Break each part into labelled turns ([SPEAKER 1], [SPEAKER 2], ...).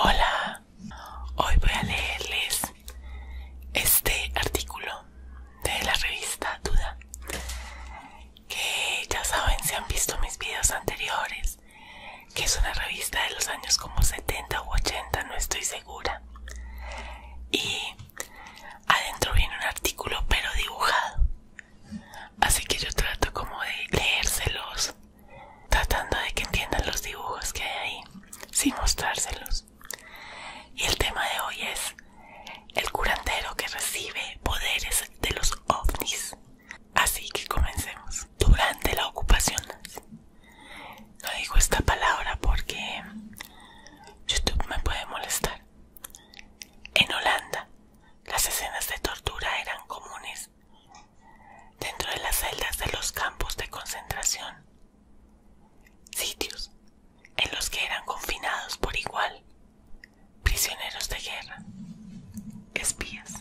[SPEAKER 1] Hola, hoy voy a leerles este artículo de la revista Duda, que ya saben si han visto mis videos anteriores, que es una revista de los años como 70 u 80, no estoy segura y adentro viene un artículo pero dibujado así que yo trato como de leérselos tratando de que entiendan los dibujos que hay ahí sin mostrárselos y el tema de hoy es el curandero que recibe poderes de los ovnis así que comencemos durante la ocupación no digo esta palabra porque YouTube me puede molestar. En Holanda, las escenas de tortura eran comunes dentro de las celdas de los campos de concentración, sitios en los que eran confinados por igual prisioneros de guerra, espías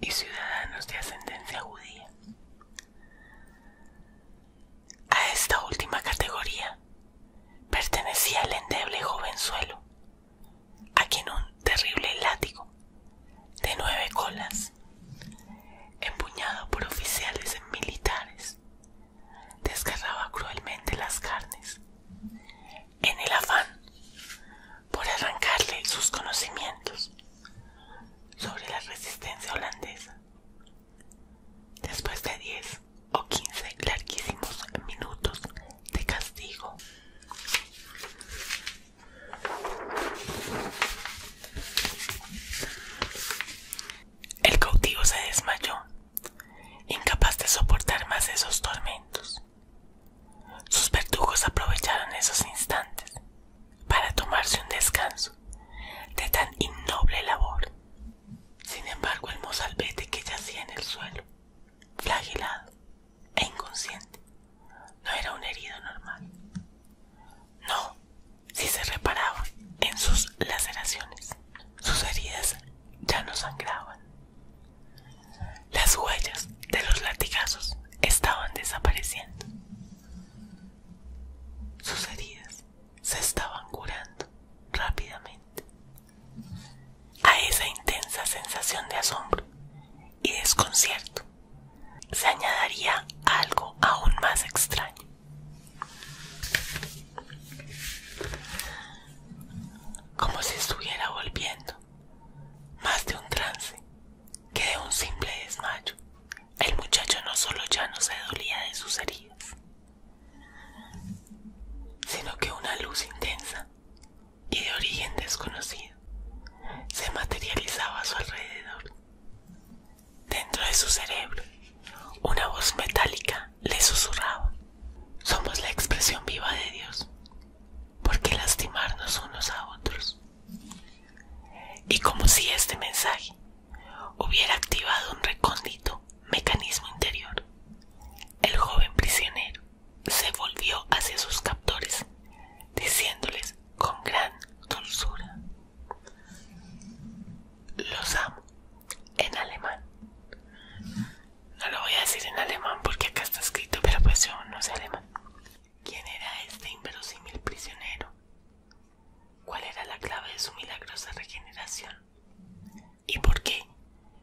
[SPEAKER 1] y ciudadanos de ascendencia judía. A esta última categoría pertenecía el endeble jovenzuelo, a quien un terrible látigo de nueve colas, empuñado por oficiales militares, desgarraba cruelmente las carnes en el afán por arrancarle sus conocimientos sobre la resistencia holandesa. Después de 10 o 15 larguísimos minutos de castigo, el cautivo se desmayó, incapaz de soportar más esos tormentos. Sus verdugos aprovecharon esos instantes para tomarse un descanso de tan innoble labor. Sin embargo, el mozalbete que yacía en el suelo, flagelado e inconsciente, no era un herido normal. No, si se reparaba en sus laceraciones, sus heridas ya no sangraban. Las huellas de los latigazos estaban desapareciendo. Sus heridas se estaban curando rápidamente. A esa intensa sensación de asombro y desconcierto se añadiría algo aún más extraño. Como si estuviera volviendo, más de un trance que de un simple desmayo. El muchacho no solo ya no se dolía de sus heridas, sino que una luz intensa y de origen desconocido se materializaba a su alrededor. Dentro de su cerebro, una voz metálica le susurraba, somos la expresión viva de Dios. ¿Por qué lastimarnos unos a otros? Y como si este mensaje hubiera activado un recóndito mecanismo interior, el joven prisionero se volvió hacia sus captores, diciéndoles con gran dulzura, los amo en alemán. No lo voy a decir en alemán porque acá está escrito, pero pues yo no sé alemán. ¿Quién era este inverosímil prisionero? ¿Cuál era la clave de su milagrosa regeneración? ¿Y por qué,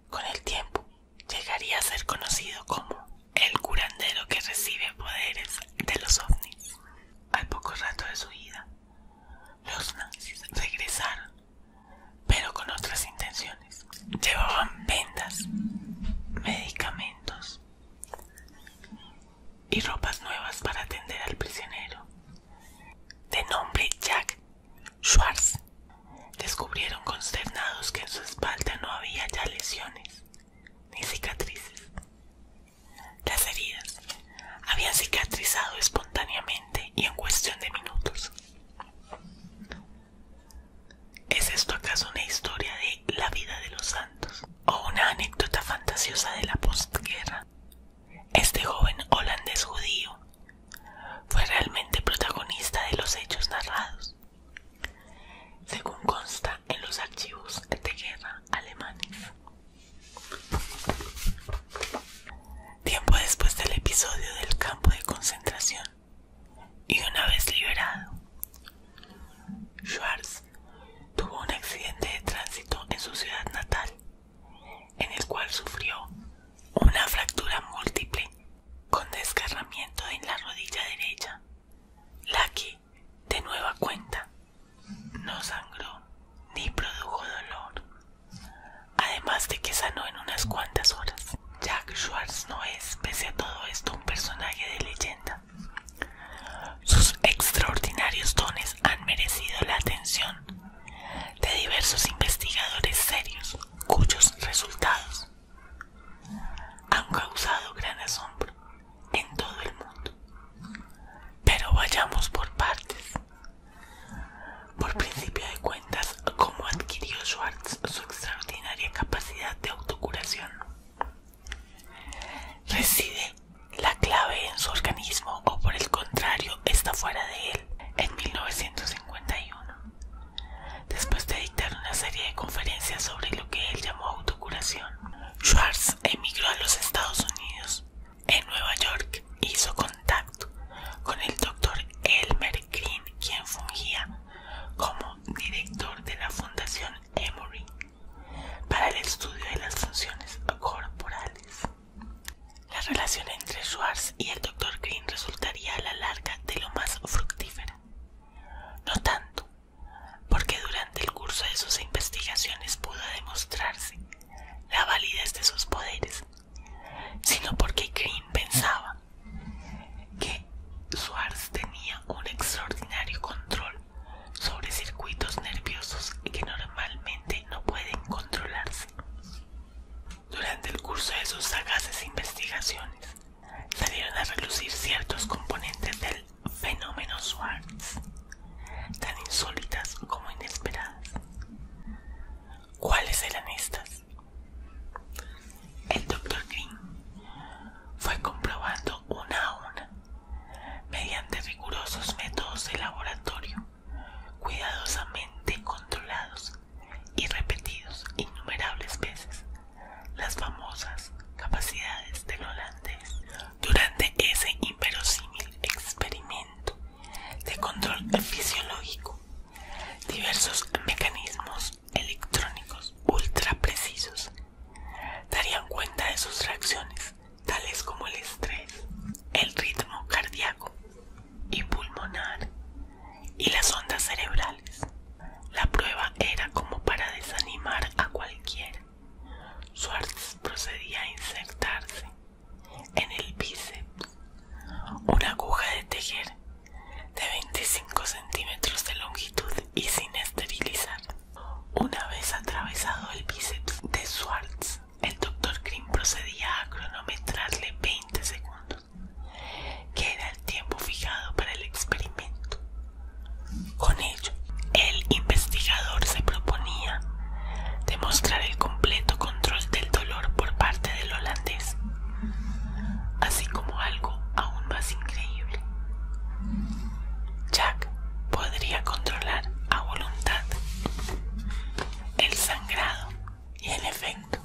[SPEAKER 1] con el tiempo, llegaría a ser conocido como el curandero que recibe poderes de los ovnis? Al poco rato de su vida, los nazis regresaron, pero con otras intenciones. Llevaban vendas, medicamentos, y ropas nuevas para atender al prisionero. De nombre Jack Schwartz, descubrieron consternados que en su espalda no había ya lesiones ni cicatrices. Las heridas habían cicatrizado espontáneamente y en cuestión de minutos. ¿Es esto acaso una historia de la vida de los santos? ¿O una anécdota fantasiosa de la postguerra? Este joven holandés judío fue realmente protagonista de los hechos narrados, según consta en los archivos de guerra alemanes. Tiempo después del episodio del campo de concentración y una vez liberado, Schwarz tuvo un accidente de tránsito en su ciudad natal, en el cual sufrió una fractura múltiple con desgarramiento en la rodilla derecha, la que, de nueva cuenta, no sangró ni produjo dolor, además de que sanó en unas cuantas horas. Jack Schwartz no es, pese a todo esto, un personaje de leyenda. Sus extraordinarios dones han merecido la atención de diversos investigadores serios cuyos resultados han causado gran asombro en todo el mundo. Pero vayamos por partes. Por principio de cuentas, ¿cómo adquirió Schwartz su extraordinaria capacidad de autocuración? Reside la clave en su organismo o por el contrario está fuera de él. En 1951, después de dictar una serie de conferencias sobre lo que él llamó autocuración, Schwartz emigró a los Estados Unidos. En Nueva York hizo contacto con el doctor Elmer Green, quien fungía como director de la Fundación Emory para el estudio de las funciones corporales. La relación entre Schwartz y el Dr. Green resultaría a la larga de lo más fructífera. No tanto, porque durante el curso de sus investigaciones pudo demostrarse la validez de sus poderes, sino porque Green pensaba que Swartz tenía un extraordinario control sobre circuitos nerviosos que normalmente no pueden controlarse. Durante el curso de sus sagaces investigaciones, salieron a relucir ciertos componentes del fenómeno Swartz, tan insólitas como inesperadas. ¿Cuáles eran estas? El Dr. Green fue comprobando una a una, mediante rigurosos métodos de laboratorio, cuidadosamente controlados y repetidos innumerables veces, las famosas capacidades de holandés. Durante ese inverosímil experimento de control fisiológico, diversos mecanismos electrónicos ultra precisos darían cuenta de sus reacciones, tales como el estrés, el ritmo cardíaco y pulmonar y las ondas cerebrales. La prueba era como para desanimar a cualquiera. suerte procedía a insertarse en el bíceps una aguja de tejer de 25 centímetros de longitud y sin esterilizar. Una vez atravesado el bíceps de Schwartz, el doctor Green procedía a cronometrarle 20 segundos, que era el tiempo fijado para el experimento. Con ello, el investigador se proponía demostrar el completo control del dolor por parte del holandés, así como algo aún más increíble, Jack podría controlar a voluntad el sangrado y el efecto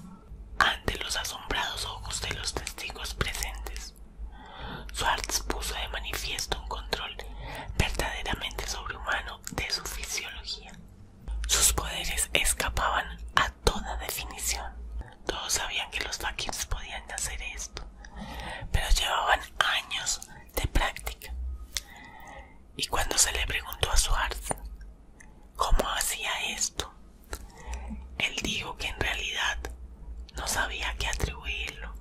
[SPEAKER 1] ante los asombrados ojos de los testigos presentes. Schwartz puso de manifiesto un control verdaderamente sobrehumano de su fisiología. Sus poderes escapaban a toda definición. Todos sabían que los fakirs podían hacer esto, pero llevaban años de práctica. Y cuando se le preguntó a Swartz cómo hacía esto, él dijo que en realidad no sabía qué atribuirlo.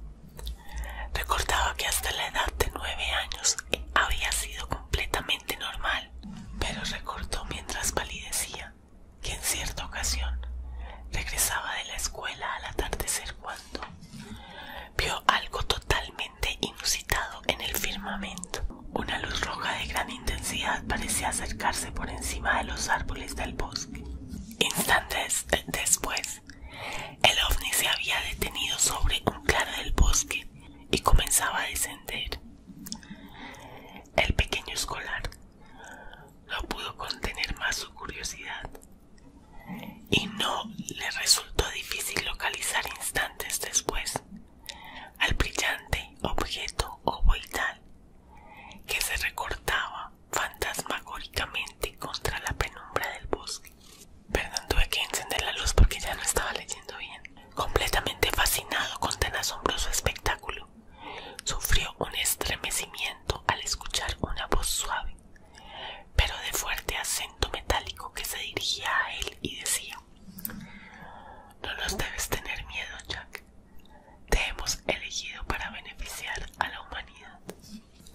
[SPEAKER 1] Recordaba que hasta la edad de nueve años había sido completamente normal, pero recortó mientras palidecía que en cierta ocasión regresaba de la escuela al atardecer cuando vio algo totalmente inusitado en el firmamento. Una luz roja de gran intensidad parecía acercarse por encima de los árboles del bosque. Instantes después, el ovni se había detenido sobre un claro del bosque y comenzaba a descender. El pequeño escolar no pudo contener más su curiosidad y no le resultó difícil localizar instantes después al brillante objeto ovoidal que se recortaba fantasmagóricamente contra la penumbra del bosque. Perdón, tuve que encender la luz porque ya no estaba leyendo bien. Completamente fascinado con tan asombroso espectáculo, Sufrió un estremecimiento al escuchar una voz suave, pero de fuerte acento metálico que se dirigía a él y decía: No nos debes tener miedo, Jack. Te hemos elegido para beneficiar a la humanidad.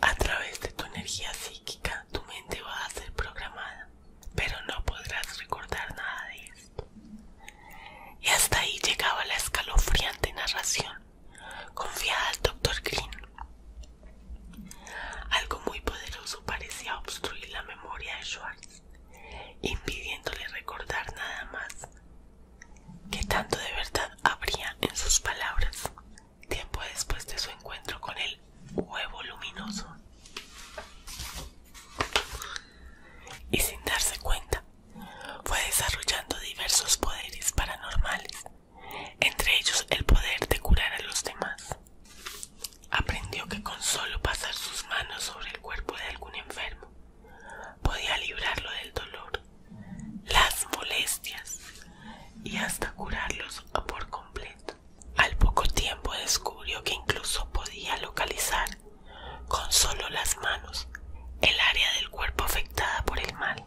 [SPEAKER 1] A través de tu energía psíquica, tu mente va a ser programada, pero no podrás recordar nada de esto. Y hasta ahí llegaba la escalofriante narración Confiada al Dr. Green. Algo muy poderoso parecía obstruir la memoria de Schwartz, impidiéndole recordar nada más. que tanto de verdad habría en sus palabras? Tiempo después de su encuentro con el huevo luminoso. Y sin darse cuenta, fue desarrollando diversos poderes paranormales, entre ellos el poder de curar a los demás. Aprendió que con solo pasar sus manos sobre el cuerpo de algún enfermo, podía librarlo del dolor, las molestias y hasta curarlos por completo. Al poco tiempo descubrió que incluso podía localizar con solo las manos, el área del cuerpo afectada por el mal.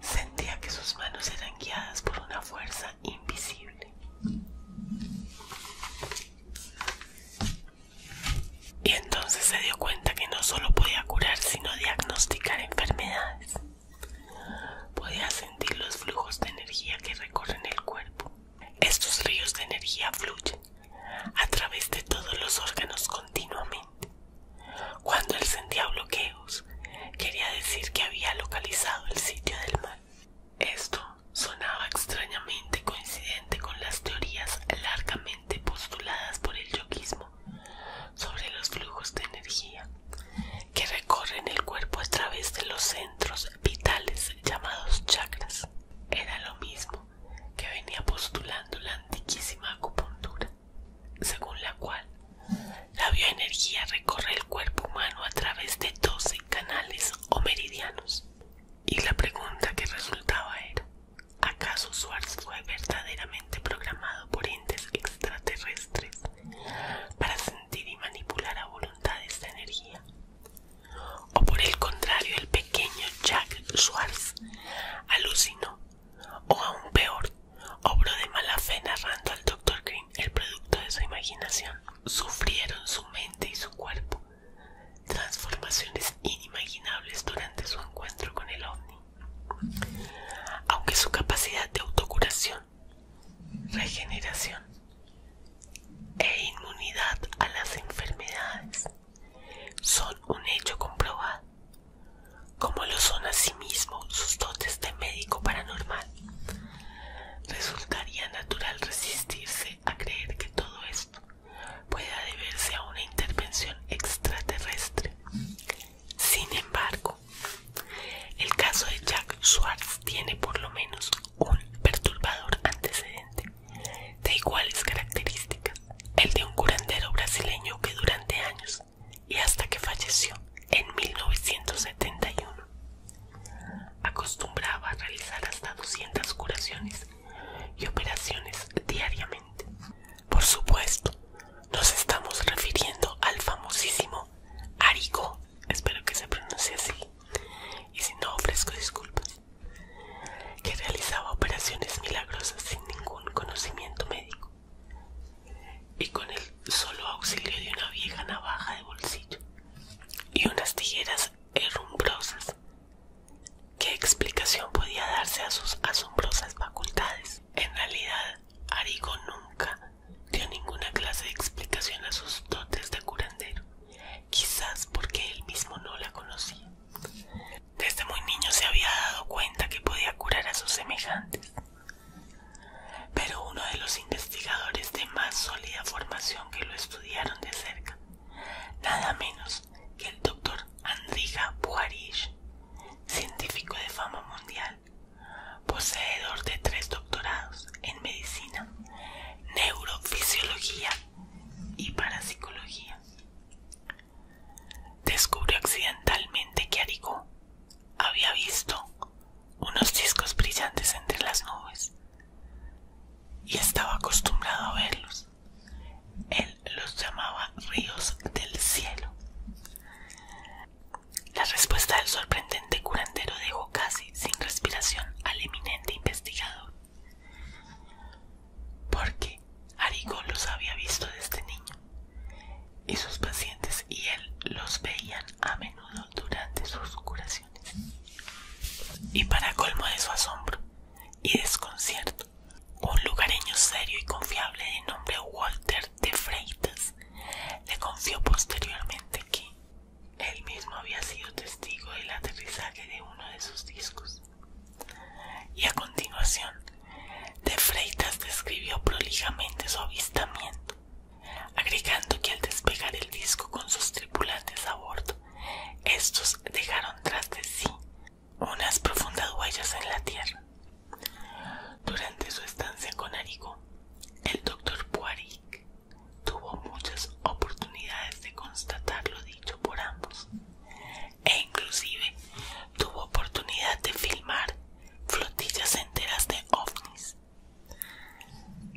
[SPEAKER 1] Sentía que sus manos eran guiadas por una fuerza invisible. Y entonces se dio cuenta que no solo podía curar, sino diagnosticar enfermedades. Podía sentir los flujos de energía que recorren el cuerpo. Estos ríos de energía fluyen a través de todos los órganos continuamente. Cuando él sentía bloqueos, quería decir que había localizado el sitio del mal. Esto sonaba extrañamente coincidente con las teorías largamente postuladas por el yoguismo sobre los flujos de energía que recorren el cuerpo a través de los centros vitales llamados chakras. Era lo mismo que venía postulando la antiquísima acupuntura, según la cual la bioenergía recorre el cuerpo humano a través de doce canales o meridianos. Y la pregunta que resultaba era, ¿acaso Swartz fue verdaderamente programado por entes extraterrestres para sentir y manipular a voluntad esta energía? O por el contrario, el pequeño Jack Schwartz alucinó, o aún peor, obró de mala fe narrando al Dr. Green el producto de su imaginación. Sufrieron su mente y su cuerpo transformaciones inimaginables durante su encuentro con el ovni. Aunque su capacidad de autocuración, regeneración e inmunidad a las enfermedades son un hecho comprobado, como lo son asimismo sus dotes de médico paranormal. Resultaría natural resistirse a creer que todo esto pueda deberse a una intervención extraterrestre. Sin embargo, el caso de Jack Schwartz tiene por lo menos un perturbador antecedente de iguales características, el de un curandero brasileño que durante años y hasta que falleció en 1971 acostumbraba a realizar hasta 200 curaciones y operaciones diariamente. Por supuesto, nos estamos refiriendo al famosísimo Arigo espero que se pronuncie así, y si no ofrezco disculpas que realizaba operaciones milagrosas sin ningún conocimiento médico y con el solo auxilio de una vieja navaja de bolsillo y unas tijeras herrumbrosas. ¿Qué explicación podía darse a sus asombrosas facultades? En realidad, Arigo nunca dio ninguna clase de explicación a sus dotes de curandero, quizás porque él mismo no la conocía. Desde muy niño se había dado cuenta que podía curar a sus semejantes. Pero uno de los investigadores de más sólida formación que lo estudiaron de cerca, nada menos que el doctor Andrija Buharish, científico de fama mundial, poseedor de tres doctorados en medicina, neurofisiología y parapsicología, Descubrió accidentalmente que Arigó había visto unos discos brillantes entre las nubes y estaba acostumbrado a verlos. Él los llamaba ríos del cielo. La respuesta del sorprendente curandero dejó casi sin respiración al eminente investigador porque Arigó los había visto desde este niño y sus pacientes y él los veían a menudo durante sus curaciones. Y para colmo de su asombro y desconcierto, un lugareño serio y confiable de nombre Walter de Freitas le confió posteriormente que él mismo había sido testigo del aterrizaje de uno de sus discos y a continuación, de Freitas describió prolijamente su avistamiento, agregando que al despegar el disco con sus tripulantes a bordo, estos dejaron tras de sí unas profundas huellas en la tierra. Durante su estancia con Arico, el doctor Buaric tuvo muchas oportunidades de constatar lo dicho por ambos e inclusive tuvo oportunidad de filmar flotillas enteras de ovnis.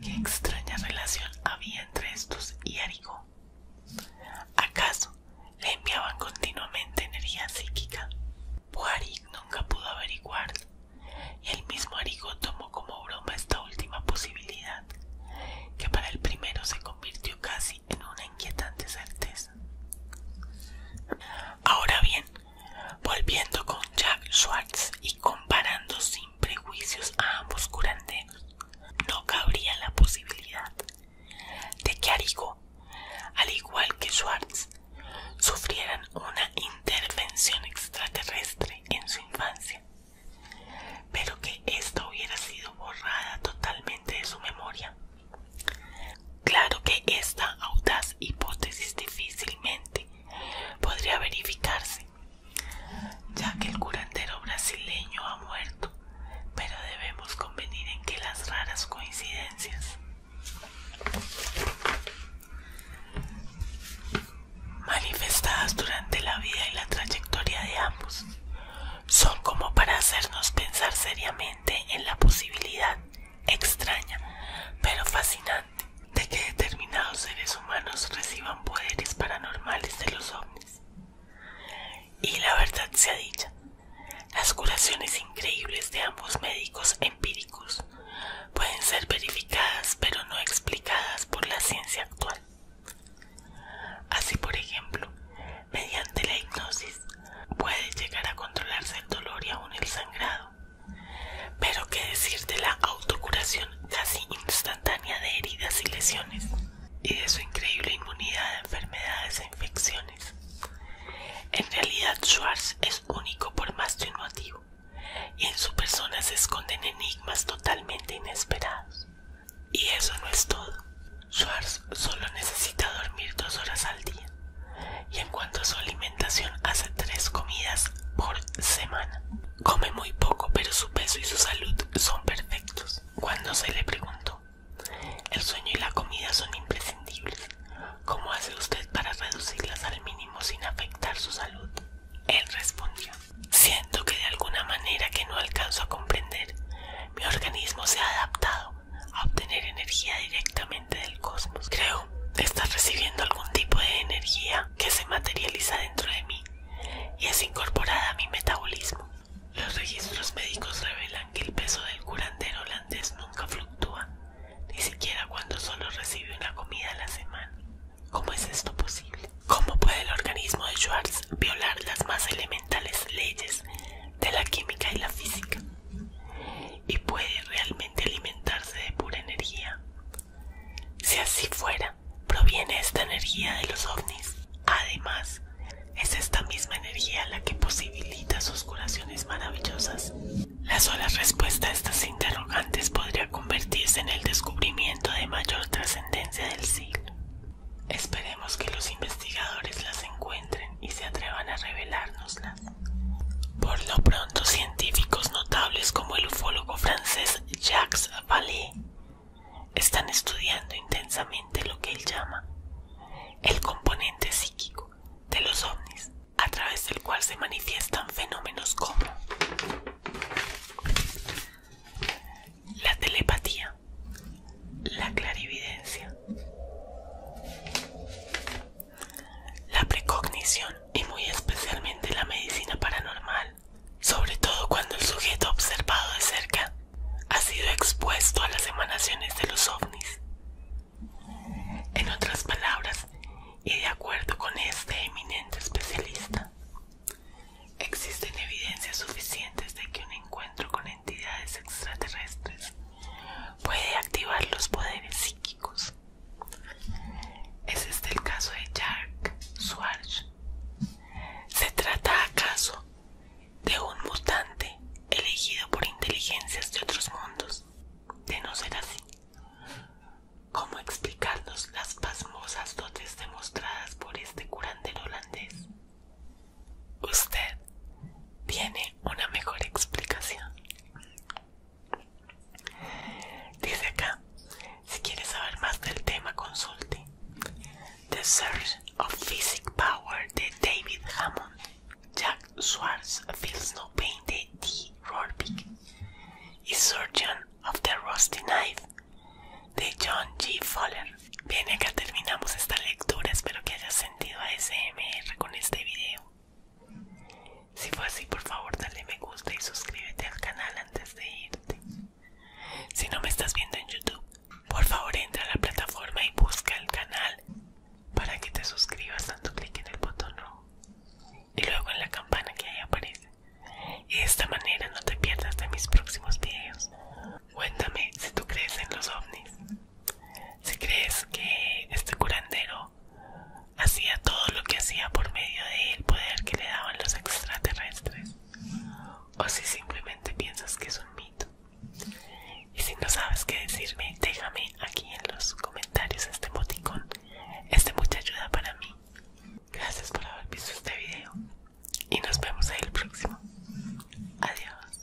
[SPEAKER 1] ¿Qué extraña relación había entre estos y arigó, ¿Acaso le enviaban continuamente energía psíquica? arigo nunca pudo averiguarlo, y el mismo arigó tomó como broma esta última posibilidad, que para el primero se convirtió casi en una inquietante certeza. Ahora bien, volviendo con Jack Schwartz y comparando sin prejuicios a ambos curanderos, no cabría la posibilidad de que Arigo, al igual que Schwartz, sufrieran una intervención extraterrestre en su infancia pero que esto hubiera sido borrada totalmente de su memoria. Claro que esta audaz hipótesis difícilmente podría verificarse, ya que el curandero brasileño ha muerto, pero debemos convenir en que las raras coincidencias. Manifestadas durante la vida y la trayectoria de ambos son como para hacernos pensar seriamente en la posibilidad extraña, pero fascinante, de que determinados seres humanos reciban poderes paranormales de los hombres. Y la verdad sea dicha, las curaciones increíbles de ambos médicos empíricos pueden ser verificadas pero no explicadas por la ciencia actual. Así, por ejemplo, mediante la hipnosis puede llegar a controlarse el dolor y aún el sangrado. Pero qué decir de la autocuración casi instantánea de heridas y lesiones y de su increíble inmunidad a enfermedades e infecciones. En realidad Schwartz es único por más que un motivo y en su persona se esconden enigmas totalmente inesperados. Y eso no es todo. Schwartz solo necesita dormir dos horas al día. Y en cuanto a su alimentación, hace tres comidas por semana. Come muy poco, pero su peso y su salud son perfectos. Cuando se le preguntó, el sueño y la comida son imprescindibles. ¿Cómo hace usted para reducirlas al mínimo sin afectar su salud? Él respondió, Siento que de alguna manera que no alcanzo a comprender, mi organismo se ha adaptado a obtener energía directamente del cosmos. Creo está recibiendo algún tipo de energía que se materializa dentro de mí y es incorporada a mi metabolismo. Los registros médicos revelan que el peso del curandero holandés nunca fluctúa, ni siquiera cuando solo recibe una comida a la semana. ¿Cómo es esto posible? ¿Cómo puede el organismo de Schwartz violar las más elementales leyes de la química y la física? ¿Y puede realmente alimentarse de pura energía? Si así fuera, proviene esta energía de los ovnis. Además, es esta misma energía la que posibilita sus curaciones maravillosas. La sola respuesta a estas interrogantes podría convertirse en el descubrimiento de mayor trascendencia del siglo. Esperemos que los investigadores las encuentren y se atrevan a revelárnoslas. Por lo pronto, científicos notables como el ufólogo francés Jacques Vallée están estudiando intensamente lo que él llama el componente psíquico de los ovnis, a través del cual se manifiestan fenómenos como la telepatía, la clarividencia, la precognición y muy especialmente la medicina paranormal, sobre todo cuando el sujeto observado de cerca ha sido expuesto a las emanaciones de los ovnis. En otras palabras, y de acuerdo con este eminente especialista, Existen evidencias suficientes de que un encuentro con entidades extraterrestres puede activar los poderes psíquicos. ¿Es este el caso de Jack Swartz. ¿Se trata acaso de un mutante elegido por inteligencias de otros mundos? De no ser así, ¿cómo explicarnos las pasmosas dotes demostradas por este curandero Usted tiene una mejor explicación. Dice acá, si quiere saber más del tema, consulte The Search of Physic Power de David Hammond, Jack Swartz Feels No Pain de D. Rorbick y Surgeon of the Rusty Knife de John G. Fuller. Bien, acá terminamos esta lectura. Espero que hayas sentido ASMR con este video. Si fue así, por favor, dale me gusta y suscríbete al canal antes de irte. Si no me estás viendo en YouTube, por favor entra a la plataforma y busca el canal para que te suscribas dando clic en el botón rojo y luego en la campana que ahí aparece y de esta manera no te pierdas de mis próximos videos. Cuéntame si tú crees en los ovnis, si crees que este curandero hacía todo lo que hacía por medio del poder que le daban los extraterrestres o si simplemente piensas que es un mito. Y si no sabes qué decirme, déjame aquí en los comentarios este emoticón. de este mucha ayuda para mí. Gracias por haber visto este video y nos vemos en el próximo. Adiós.